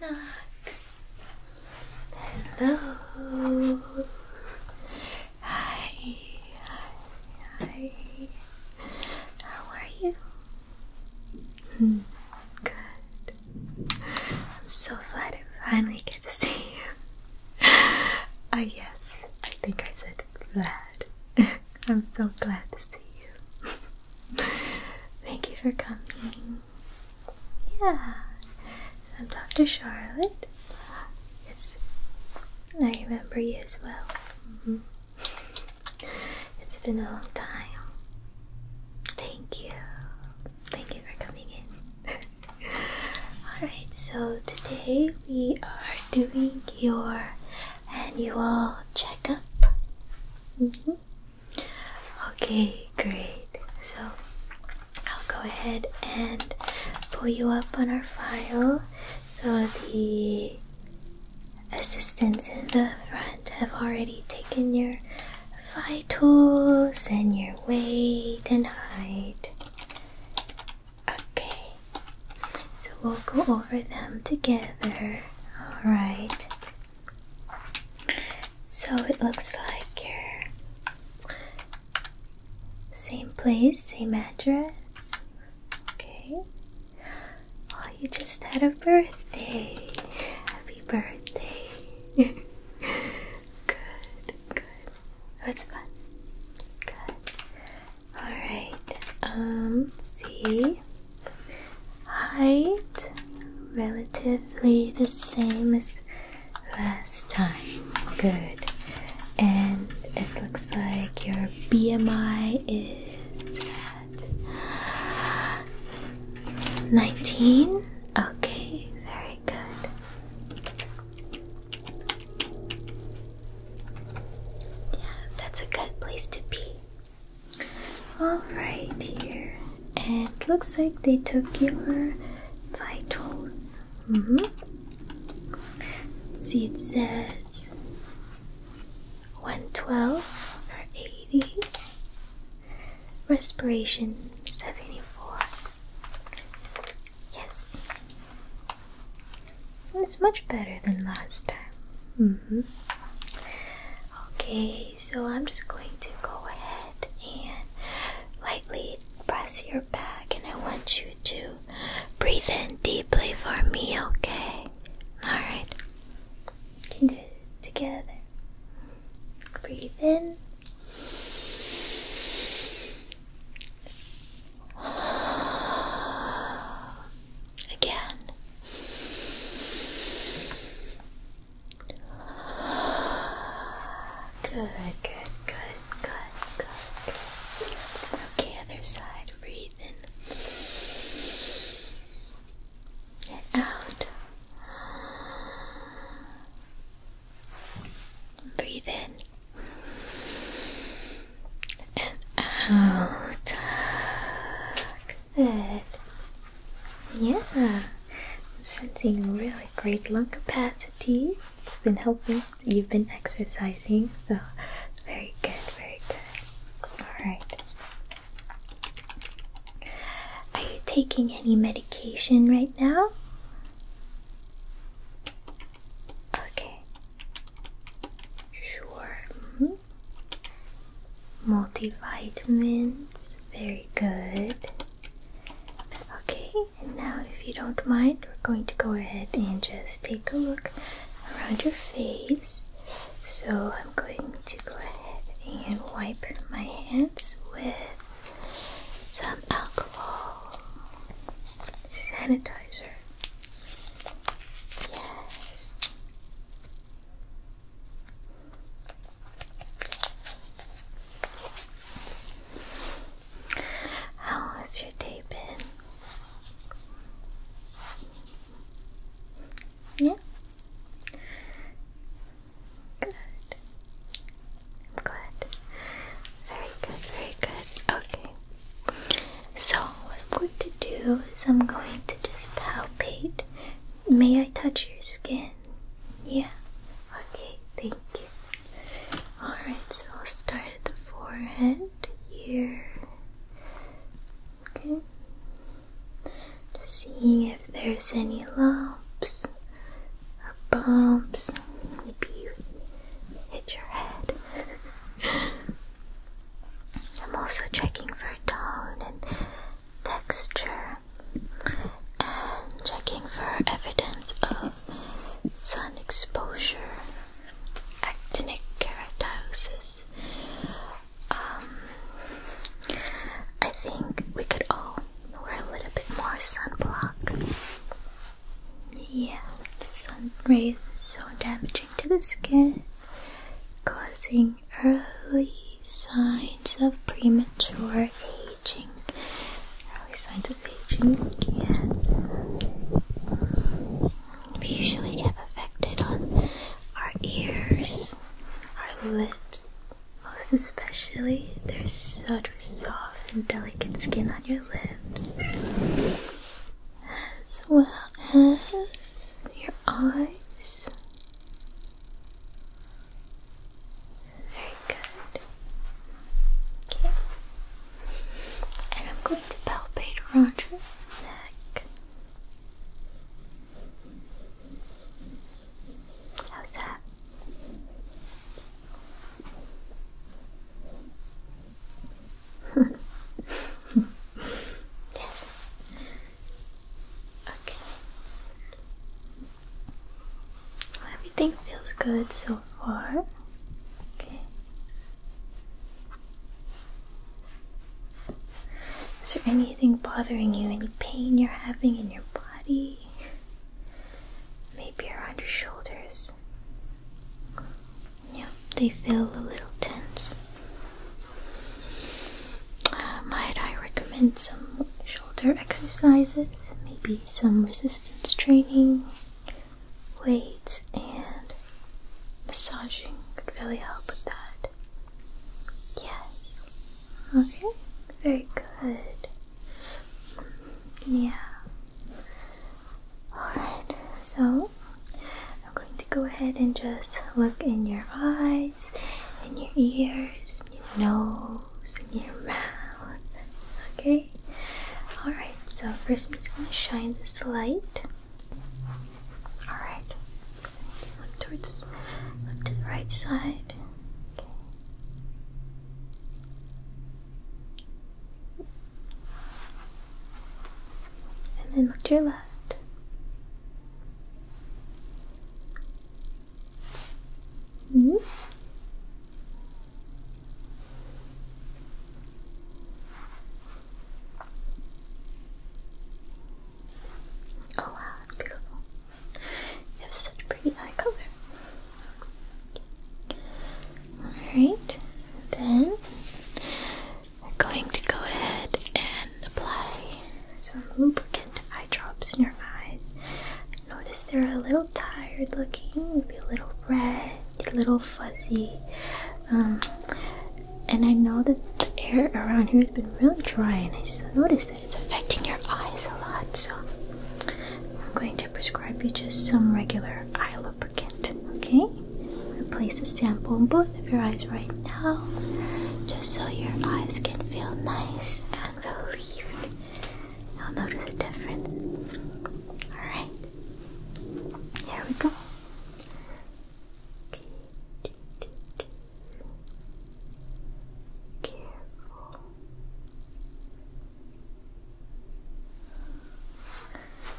Knock. Hello. Hi. Hi. Hi. How are you? Good. I'm so glad I finally get to see you. Ah, uh, yes. I think I said glad. I'm so glad to see you. Thank you for coming. Yeah, I'm Dr. Charlotte. Yes, I remember you as well. Mm-hmm. It's been a long time. Thank you. Thank you for coming in. Alright, so today we are doing your annual checkup. Mm-hmm. Okay, great. So I'll go ahead and pull you up on our file. So the assistants in the front have already taken your vitals and your weight and height. Okay, so we'll go over them together. Alright, so it looks like your same place, same address. Okay. Oh, you just had a birthday. Happy birthday. good, good. Oh, it's fun. Good. Alright. Um, see height relatively the same as last time. Good. And it looks like your BMI is 19. Okay, very good. Yeah, that's a good place to be. All right, here it looks like they took your vitals. Mm-hmm. See, it says 112 or 80, respiration 74. Yes, it's much better than last time. Mm-hmm. Okay, so I'm just going to go ahead and lightly press your back, and I want you to breathe in deeply for me, okay? Alright, we can do it together. Breathe in again. Good, good, good, good, good. Okay, other side. Breathe in and out. Breathe in and out. Good. Yeah. i sensing really great lung capacity. It's been helping. You've been exercising, so very good, very good. Alright. Are you taking any medication right now? Okay. Sure. Mm-hmm multivitamins. Very good. Okay, and now if you don't mind, we're going to go ahead and just take a look around your face. So I'm going to go ahead and wipe my hands with some alcohol sanitizer. Yes. How has your day been? Yeah. Good. glad. Very good, very good. Okay. So what I'm going to do is I'm going to just palpate. May I touch your skin? Yeah. Okay, thank you. Alright, so I'll start at the forehead here. Okay. Just seeing if there's any lumps or bumps. Maybe hit your head. I'm also checking for tone and texture and checking for evidence of sun exposure, actinic keratosis. Um, I think we could all wear a little bit more sunblock. Yeah, sun rays is so damaging to the skin, causing early signs of premature aging. Early signs of aging can we usually get affected on our ears, our lips, most especially. There's such soft and delicate skin on your lips as well as your eyes. Very good. Okay. And I'm going to palpate around neck. How's that? yes. Okay. Everything feels good so far. Okay. Is there anything bothering you? Any pain you're having in your body? Maybe around your shoulders. Yeah, they feel a little tense. Uh, might I recommend some shoulder exercises, maybe some resistance training, weights, and massaging could really help with that. Yes. Okay, very good. Yeah. Alright, so I'm going to go ahead and just look in your eyes, in your ears, in your nose, in your mouth. Okay? Alright, so first I'm just going to shine this light. Alright. Look towards look to the right side. Okay and then look to your left. Mm-hmm. Oh wow, that's beautiful. You have such pretty eye color. Alright, then going to go ahead and apply some lubricant eye drops in your eyes. Notice they're a little tired looking, maybe a little red, a little fuzzy. Um, and I know that the air around here has been really dry, and I noticed that it's affecting your eyes a lot. So I'm going to prescribe you just some regular eye lubricant, okay? We'll place a sample on both of your eyes right now, just so your eyes can feel nice and relieved. you will notice a difference. Alright. Here we go. Careful.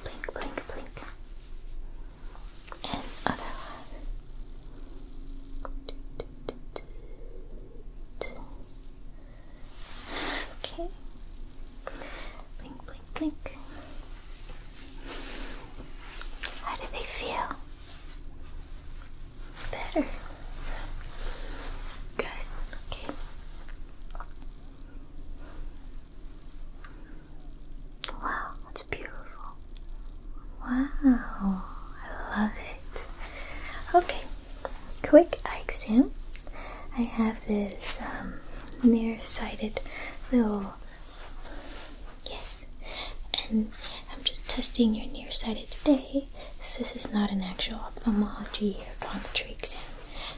Blink, blink, blink and other Okay. Blink, blink, blink. How do they feel? Better. Good. Okay. Wow, that's beautiful. Wow, I love it. Okay, quick exam. I have this um, nearsighted little. Yes, and I'm just testing your nearsighted today. This is not an actual ophthalmology or optometry exam.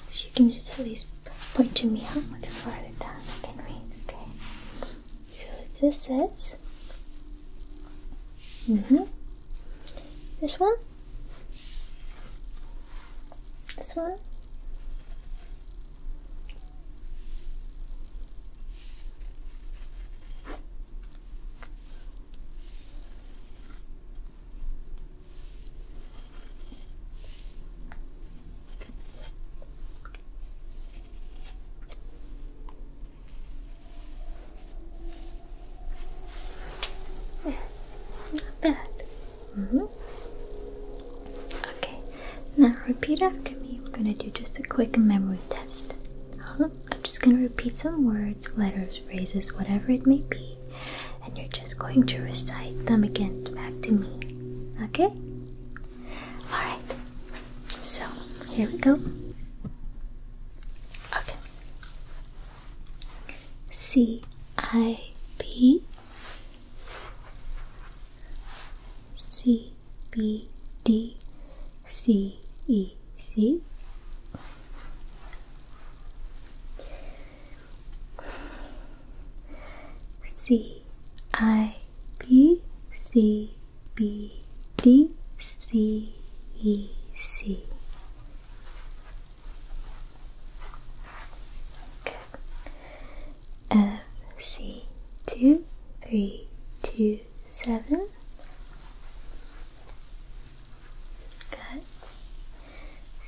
So you can just at least point to me how much farther down I can read, okay? So this is. Mm-hmm. This one? This one? not bad. Mm -hmm. Okay, now repeat after me. We're gonna do just a quick memory test. Uh-huh. I'm just gonna repeat some words, letters, phrases, whatever it may be, and you're just going to recite them again back to me. Okay? Alright, so here we go. Okay. C I P C B D C E C C I B C B D C E C. Good. F C two three two seven. Good.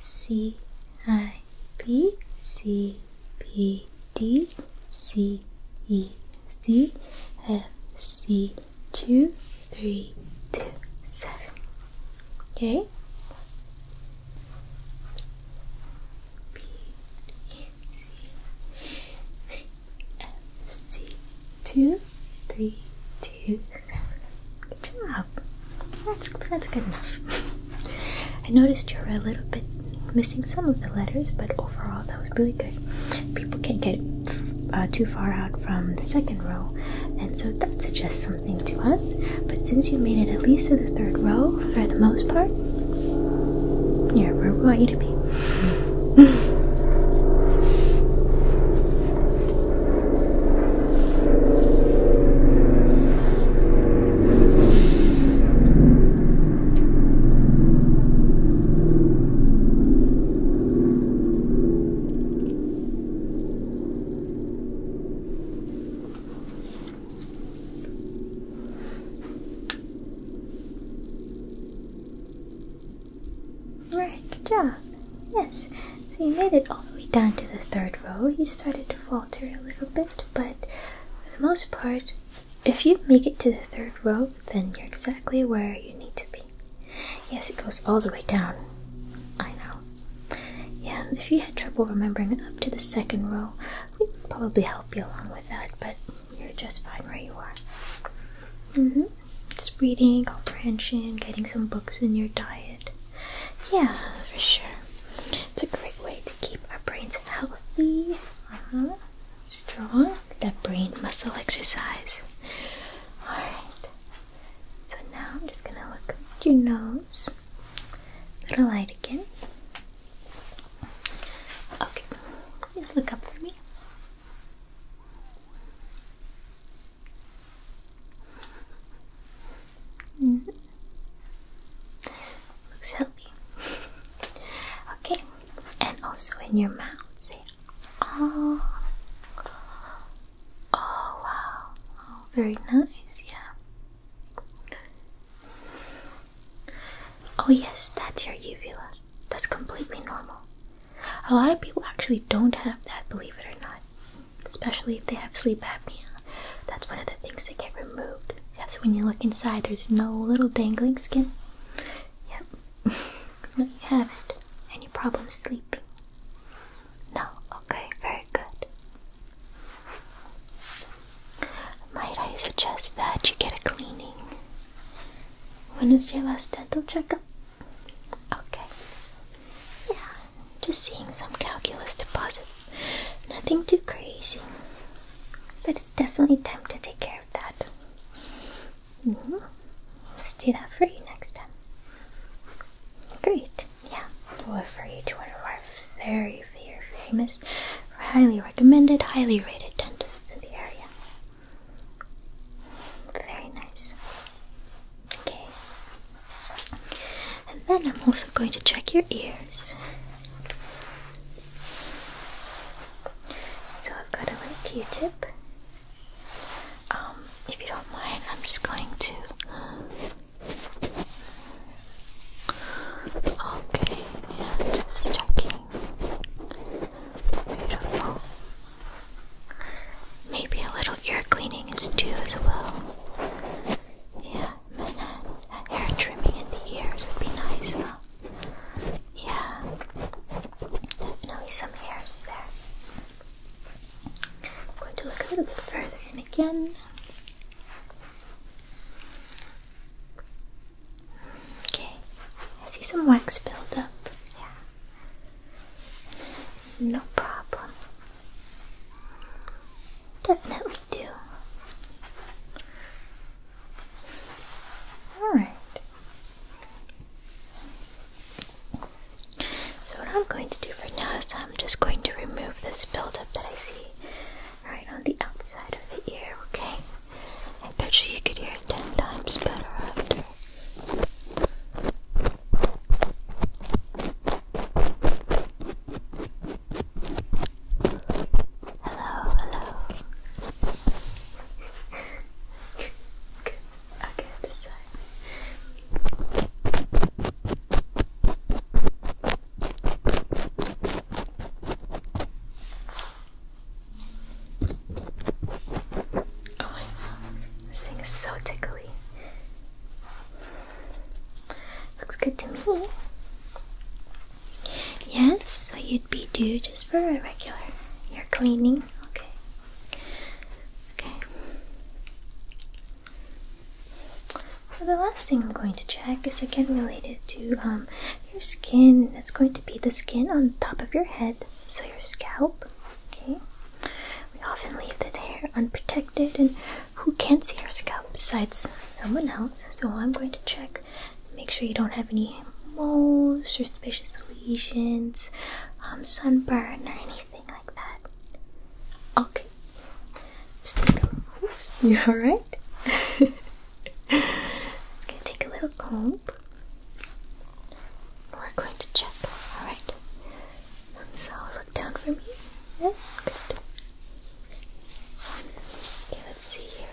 C I B C B D C E C F C two three two seven. Okay. B E C F C two three two seven. Good job. That's, that's good enough. I noticed you were a little bit missing some of the letters, but overall that was really good. People can not get uh, too far out from the second row, and so that suggests something to us. But since you made it at least to the third row, for the most part, yeah, where we want you to be. Right, good job. Yes, so you made it all the way down to the third row. You started falter a little bit, but for the most part, if you make it to the third row, then you're exactly where you need to be. Yes, it goes all the way down. I know. Yeah, if you had trouble remembering up to the second row, we would probably help you along with that, but you're just fine where you are. Mm hmm Just reading, comprehension, getting some books in your diet. Yeah, for sure. It's a great way to keep our brains healthy, uh -huh. strong, that brain muscle exercise. Alright, so now I'm just gonna look at your nose. A little light again. Okay, just look up for me. Mm-hmm. Looks healthy. okay, and also in your mouth. Say, oh, oh wow, oh, very nice, yeah. Oh yes, that's your uvula. That's completely normal. A lot of people actually don't have that, believe it or not especially if they have sleep apnea. That's one of the things that get removed. Yeah, so when you look inside, there's no little dangling skin. Yep. no, you haven't. Any problems sleeping? No. Okay, very good. Might I suggest that you get a cleaning? When is your last dental checkup? Okay. Yeah, just seeing some calculus deposits. Nothing too crazy. But it's definitely time to take care of that. Mm-hmm. Let's do that for you next time. Great. Yeah. We'll refer you to one of our very, very famous, highly recommended, highly rated dentists in the area. Very nice. Okay. And then I'm also going to check your ears. So I've got a little Q-tip. Um, if you don't mind, I'm just going to. Okay, just checking. Beautiful. Maybe a little ear cleaning is due as well. Yeah hair trimming in the ears would be nice, Yeah, definitely some hairs there. I'm going to look a little bit further in again. Okay, I see some wax build Yeah, no problem. Definitely do. Alright. So, what I'm going to do for now is I'm just going to remove this buildup that I see right on the outside of the ear, okay? I bet you you could hear it 10 times better after hello. okay, this side. Oh my god, this thing is so tickly. Looks good to me. Yes, so you'd be due just for a regular your cleaning. Okay. Okay. For the last thing I'm going to check is again related to um your skin. That's going to be the skin on top of your head, so your scalp. Okay. We often leave the hair unprotected and who can't see your scalp besides someone else. So I'm going to check, make sure you don't have any moles, suspicious lesions, um, sunburn, or anything like that. Okay. Just take alright? Just gonna take a little comb. We're going to check. Alright. So look down for me good. Okay, let's see here.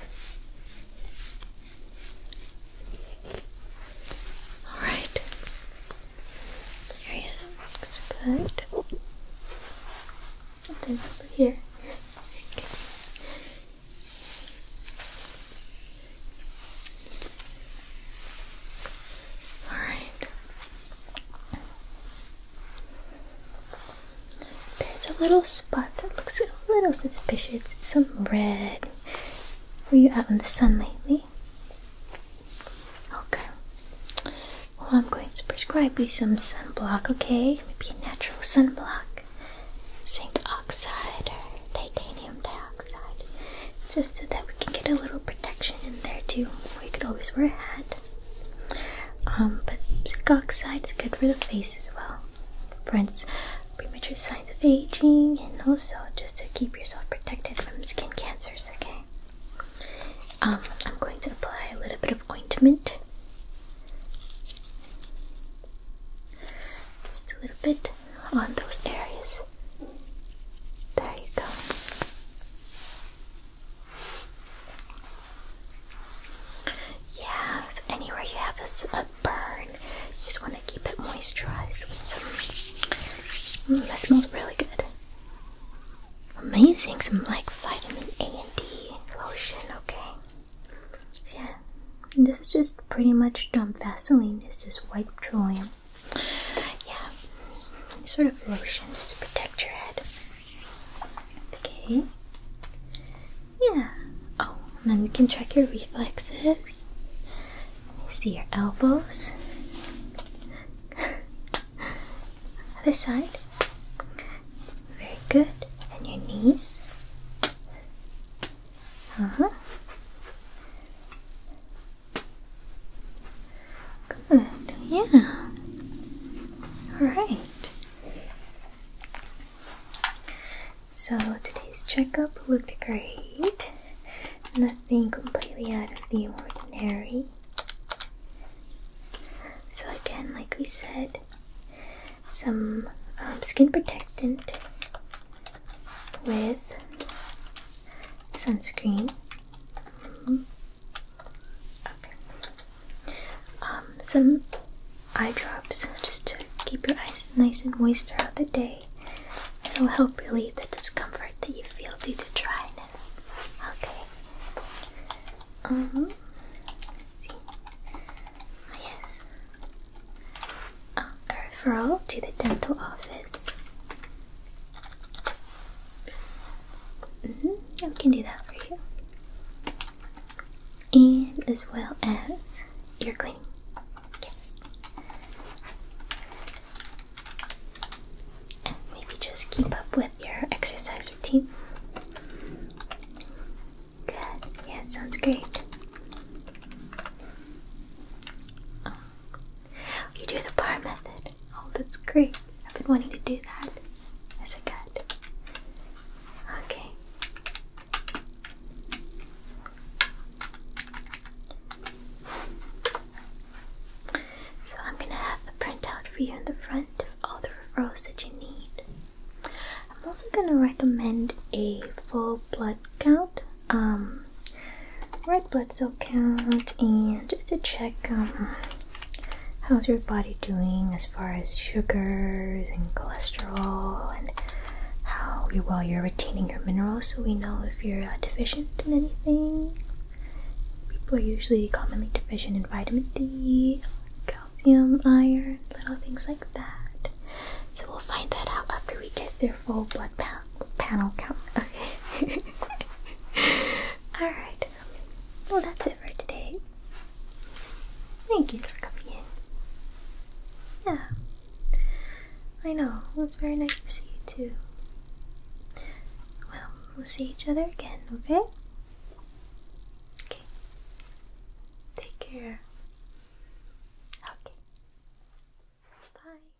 Alright. There you go. Looks good. And then over here. Alright. There's a little spot that looks a little suspicious. It's some red. Were you out in the sun lately? Okay. Well, I'm going to prescribe you some sunblock, okay? Maybe a natural sunblock, zinc oxide, or titanium dioxide, just so that we can get a little protection in there, too or you could always wear a hat. Um, but zinc oxide is good for the face as well. Prevents premature signs of aging and also just to keep yourself protected from skin cancers, okay? Um, I'm going to apply a little bit of ointment. Just a little bit on those areas. There you go. Yeah, anywhere you have a, burn, you just want to keep it moisturized with some. Mm, that smells really good. Amazing, some like vitamin A and D lotion, okay? Yeah, this is just pretty much dumb Vaseline, it's just white petroleum yeah, sort of lotion just to protect your head. Okay. Yeah. Oh, and then we can check your reflexes. See your elbows. Other side. Very good. And your knees. Uh huh. Good, yeah. Alright. So today's checkup looked great. Nothing completely out of the ordinary. So again, like we said, some um, skin protectant with sunscreen um, some eye drops just to keep your eyes nice and moist throughout the day. It'll help relieve the discomfort that you feel due to dryness. Okay. Um. Ah, yes. Um, a referral to the dental office. Mm-hmm. I can do that for you. And as well as ear cleaning. Yes. And maybe just keep up with your exercise routine. Good. Yeah, sounds great. Oh. You do the bar method. Oh, that's great. I've been wanting to do that. Is it good? Okay. So I'm gonna have a printout for you in the front of all the referrals that you need. I'm also gonna recommend a full blood count. Um red blood cell count and just to check um, how's your body doing as far as sugars and cholesterol and how you, well you're retaining your minerals so we know if you're uh, deficient in anything. People are usually commonly deficient in vitamin D, calcium, iron, little things like that. So we'll find that out after we get their full blood panel panel count. Alright. Well, that's it for today. Thank you for coming in. Yeah. I know. it's very nice to see you too. Well, we'll see each other again, okay? Okay. Take care. Okay. Bye.